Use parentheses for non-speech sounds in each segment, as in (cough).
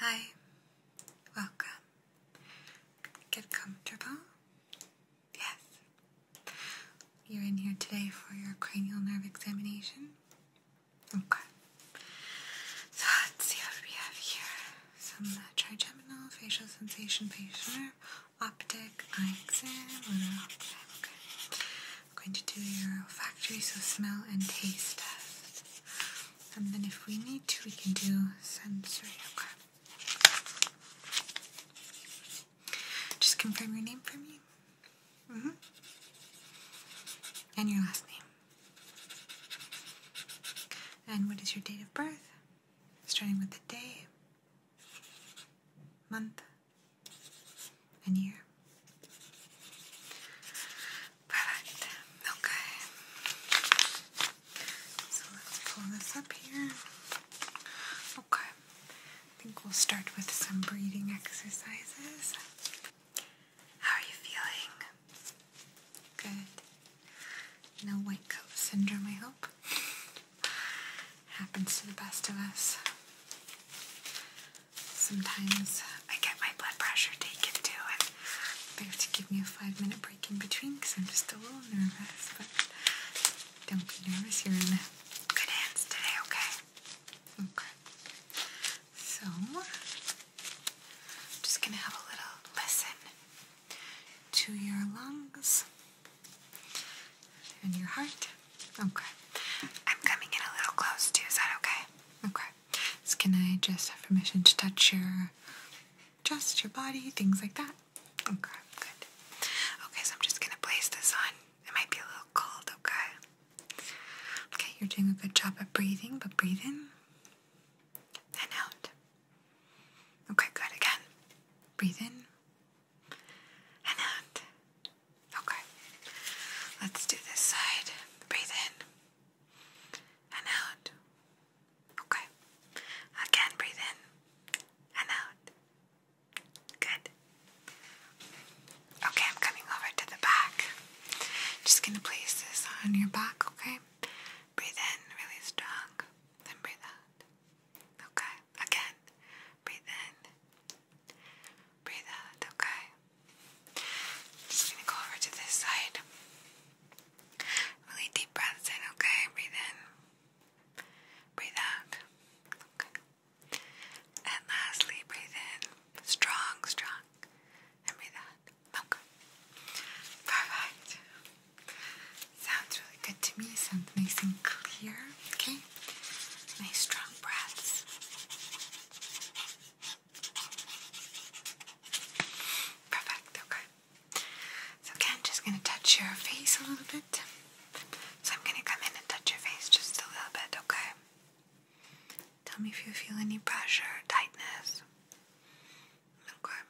Hi, welcome. Get comfortable. Yes. You're in here today for your cranial nerve examination. Okay. So let's see what we have here. Some uh, trigeminal facial sensation facial nerve, optic eye exam, lunar exam. Okay. I'm going to do your olfactory so smell and taste test. And then if we need to, we can do sensory, Just confirm your name for me. -hmm. And your last name. And what is your date of birth? Starting with the day, month, in here. Perfect. Okay. So let's pull this up here. Okay. I think we'll start with some breathing exercises. How are you feeling? Good. No white coat syndrome, I hope. (laughs) Happens to the best of us. Sometimes I get my blood pressure taken too, and they have to give me a five minute break in between because I'm just a little nervous. But don't be nervous, you're in good hands today, okay? Okay. So, I'm just gonna have a little listen to your lungs and your heart. Okay. I'm coming in a little close too, is that okay? Okay. So can I just have permission to touch your just your body, things like that? Okay, good. Okay, so I'm just gonna place this on. It might be a little cold, okay? Okay, you're doing a good job at breathing, but breathe in and out. Okay, good. Again. Breathe in and out. Okay. Let's do this side. Breathe in and out. Okay. Again, breathe in and out. Good. Okay, I'm coming over to the back. Just gonna place this on your back, okay? Breathe in really strong, then breathe out. Okay, again. Breathe in Breathe out, okay? Just gonna go over to this side. Really deep breaths in, okay? Breathe in. Breathe out. And lastly, breathe in. Strong, strong. breathe out. Okay. Perfect. Sounds really good to me. Sounds nice and clear. Okay. Nice strong breaths. Perfect, okay. So again, just going to touch your face a little bit. So I'm going to come in and touch your face just a little bit, okay? Tell me if you feel any pressure, tightness. Okay.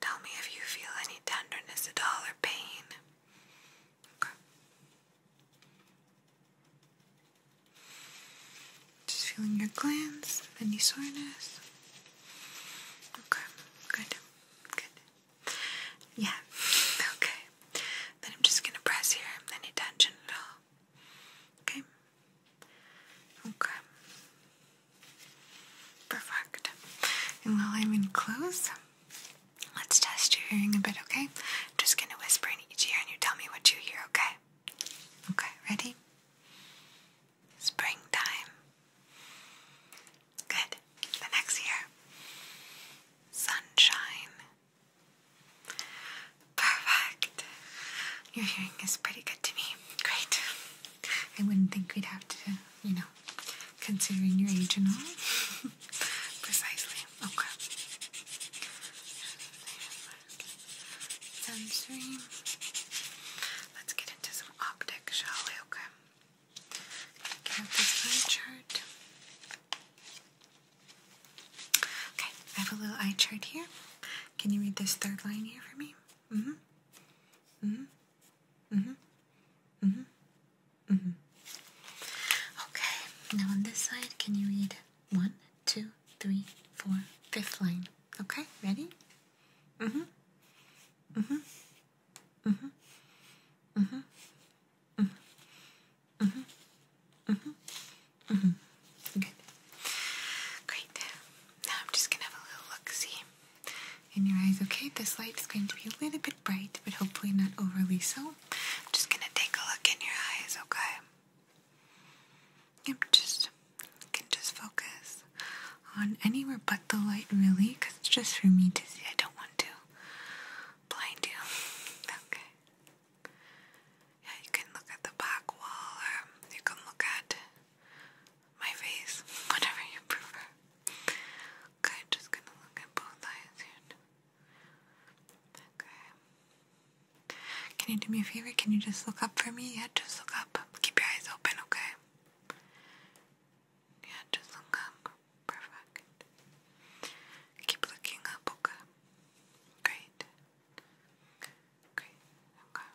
Tell me if you feel any tenderness at all or pain. Okay. Just feeling your glands, any soreness. Okay, good, good. Yeah, okay. Then I'm just gonna press here. Any tension at all? Okay. Okay. Perfect. And while I'm in close, Let's test your hearing a bit, okay? I'm just gonna whisper in each ear and you tell me what you hear, okay? Okay, ready? Springtime. Good. The next ear. Sunshine. Perfect. Your hearing is pretty good to me. Great. I wouldn't think we'd have to, you know, Considering your age and all? (laughs) Precisely. Okay. Sensory. Let's get into some optics, shall we? Okay. Get out this eye chart. Okay, I have a little eye chart here. Can you read this third line here for me? hmm hmm Mm-hmm. Mm-hmm. Mm-hmm. Okay, now on this side, can you read one, two, three, four, fifth line? Okay, ready? Mm-hmm. Mm-hmm. Mm-hmm. Mm-hmm. Mm-hmm. Mm-hmm. Mm-hmm. mm Good. Great. Now I'm just gonna have a little look see in your eyes, okay? This light is going to be a little bit bright, but hopefully not overly so. I'm just gonna take a look in your eyes, okay? Yep, just you can just focus on anywhere but the light, really, because it's just for me to see. I don't want to blind you. Okay. Yeah, you can look at the back wall, or you can look at my face, (laughs) whatever you prefer. Okay, just gonna look at both eyes here. Okay. Can you do me a favor? Can you just look up for me? Yeah, just look up. Keep your eyes open, okay? Yeah, just look up. Perfect. Keep looking up, okay? Great. Great, okay.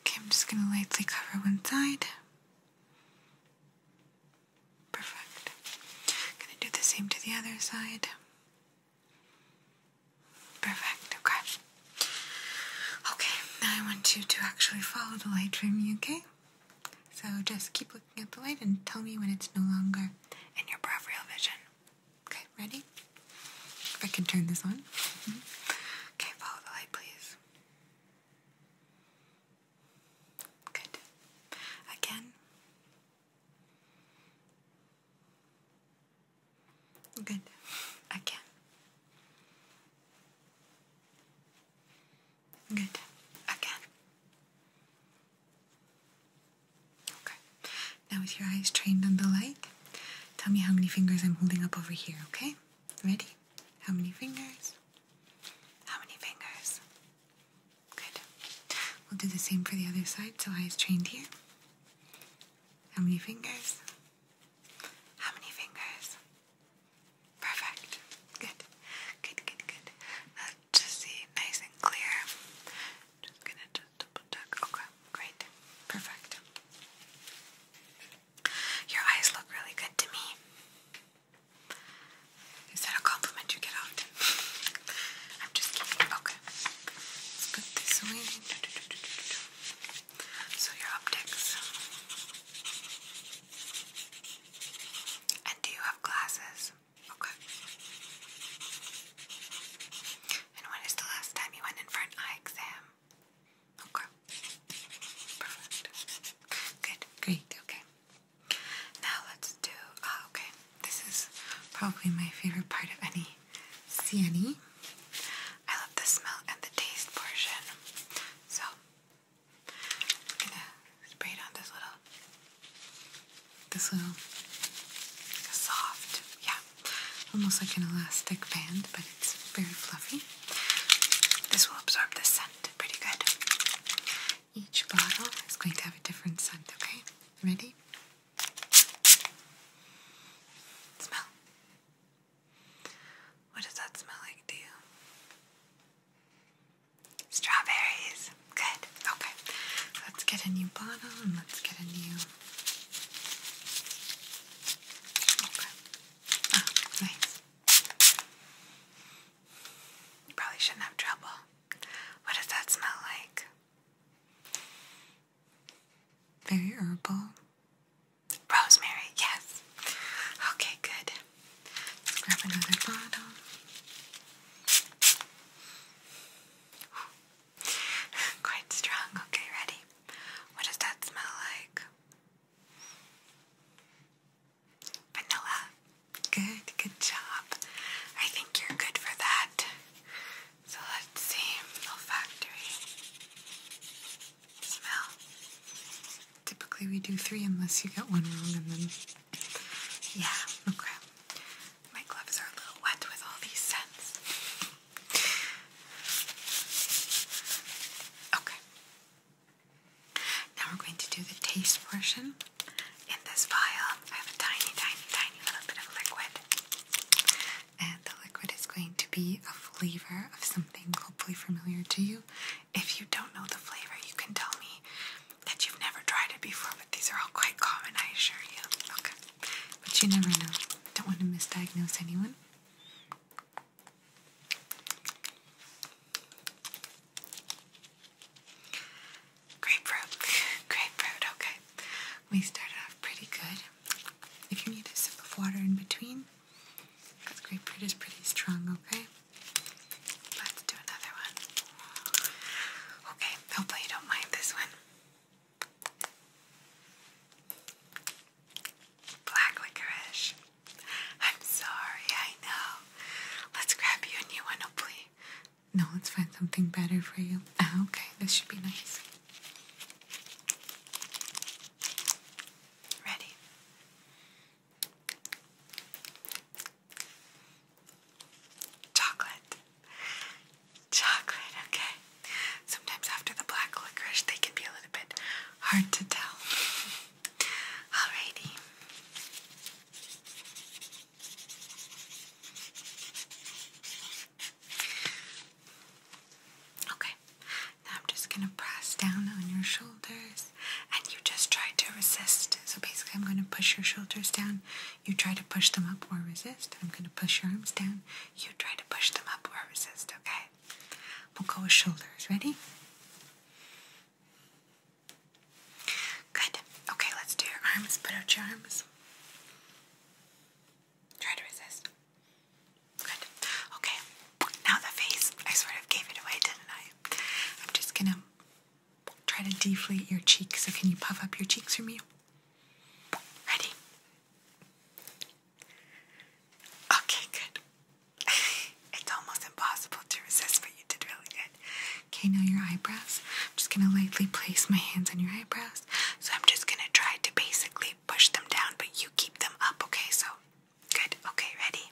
Okay, I'm just gonna lightly cover one side. Perfect. Gonna do the same to the other side. Perfect, okay. Okay, now I want you to actually follow the light from me, okay? So just keep looking at the light and tell me when it's no longer in your peripheral vision. Okay, ready? If I can turn this on. Mm-hmm. Okay, follow the light, please. Good. Again. Good. Again. Good. Again. Okay. Now with your eyes trained on the light, tell me how many fingers I'm holding up over here, okay? Ready? How many fingers? How many fingers? Good. We'll do the same for the other side, so eyes trained here. How many fingers? How many fingers? Perfect. Good. Good, good, good. just see, nice and clear. Just gonna just double check. Okay, great. Perfect. Your eyes look really good to me. Is that a compliment you get often? (laughs) I'm just kidding. Okay. put this away. So your optics. And do you have glasses? Okay. And when is the last time you went in for an eye exam? Okay. Perfect. Good. Great. Okay. Now let's do. Uh, okay. This is probably my favorite part of any CNE. I love the smell and the taste portion. So I'm gonna spray it on this little, this little soft, yeah, almost like an elastic band, but it's very fluffy. This will absorb the scent pretty good. Each bottle is going to have a different scent, okay? Ready? Smell. What does that smell like to you? Strawberries. Good. Okay. Let's get a new bottle and let's get a new Okay. Ah, you probably shouldn't have trouble. What does that smell like? Very herbal. Rosemary, yes. Okay, good. grab another bottle. (laughs) Quite strong. Okay, ready? What does that smell like? Vanilla. Good, good job. I think you're good for that. So let's see. Olfactory. Smell. Typically we do three unless you get one wrong and then. Yeah, okay. My gloves are a little wet with all these scents. (laughs) Okay. Now we're going to do the taste portion. In this vial, I have a tiny, tiny, tiny little bit of liquid. And the liquid is going to be a flavor of something hopefully familiar to you. If you don't know the flavor, you can tell me that you've never tried it before, but these are all quite common, I assure you. Okay. But you never know. Don't want to misdiagnose anyone. Grapefruit. Grapefruit, okay. We started off pretty good. If you need a sip of water in between, because grapefruit is pretty strong, okay? Let's do another one. Okay, hopefully you don't mind this one. Black licorice. I'm sorry, I know. Let's grab you a new one, hopefully. No, let's find something better for you. Ah, okay, this should be nice. Ready? Chocolate. Chocolate, okay. Sometimes after the black licorice, they can be a little bit hard to tell. (laughs) Alrighty. Okay, now I'm just gonna press down on your shoulders, and you just try to resist. So basically, I'm gonna push your shoulders down. You try to push them up or resist. I'm going to push your arms down. You try to push them up or resist, okay? We'll go with shoulders. Ready? Good. Okay, let's do your arms. Put out your arms. Try to resist. Good. Okay, now the face. I sort of gave it away, didn't I? I'm just gonna try to deflate your cheeks. So, can you puff up your cheeks for me? Ready? Okay, good. (laughs) it's almost impossible to resist, but you did really good. Okay, now your eyebrows. I'm just gonna lightly place my hands on your eyebrows. So I'm just gonna try to basically push them down, but you keep them up, okay? So, good. Okay, ready?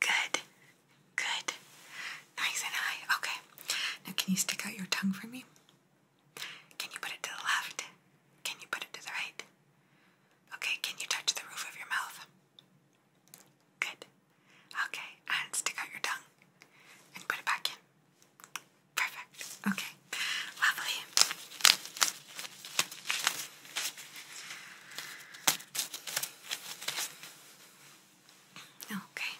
Good. Good. Nice and high. Okay. Now, can you stick out your tongue for me? Can you put it to the left? Can you put it to the right? Okay, can you touch the roof of your mouth? Good. Okay, and stick out your tongue and put it back in. Perfect. Okay, lovely. Okay,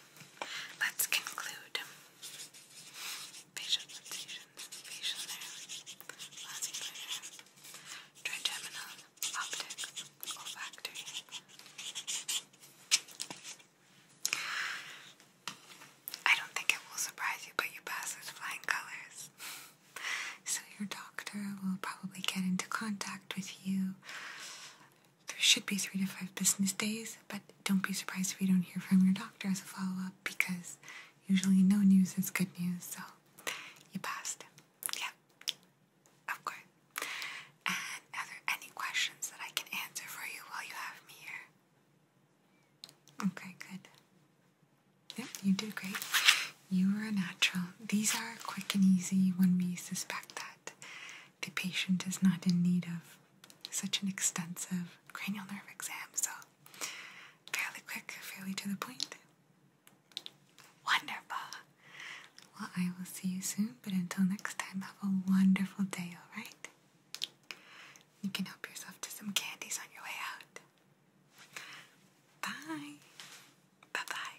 let's conclude. Facial sensations, facial nerve, vascular, trigeminal, optic, olfactory. I don't think it will surprise you, but you pass with flying colors. (laughs) So your doctor will probably get into contact with you there should be three to five business days, but don't be surprised if you don't hear from your doctor as a follow up because usually no news is good news, so you passed. Yeah, of course. And are there any questions that I can answer for you while you have me here? Okay, good. Yep, you did great. You were a natural. These are quick and easy when we suspect that the patient is not in need of such an extensive cranial nerve exam. So, fairly quick, fairly to the point. Wonderful. Well, I will see you soon, but until next time, have a wonderful day, alright? You can help yourself to some candies on your way out. Bye. Bye bye.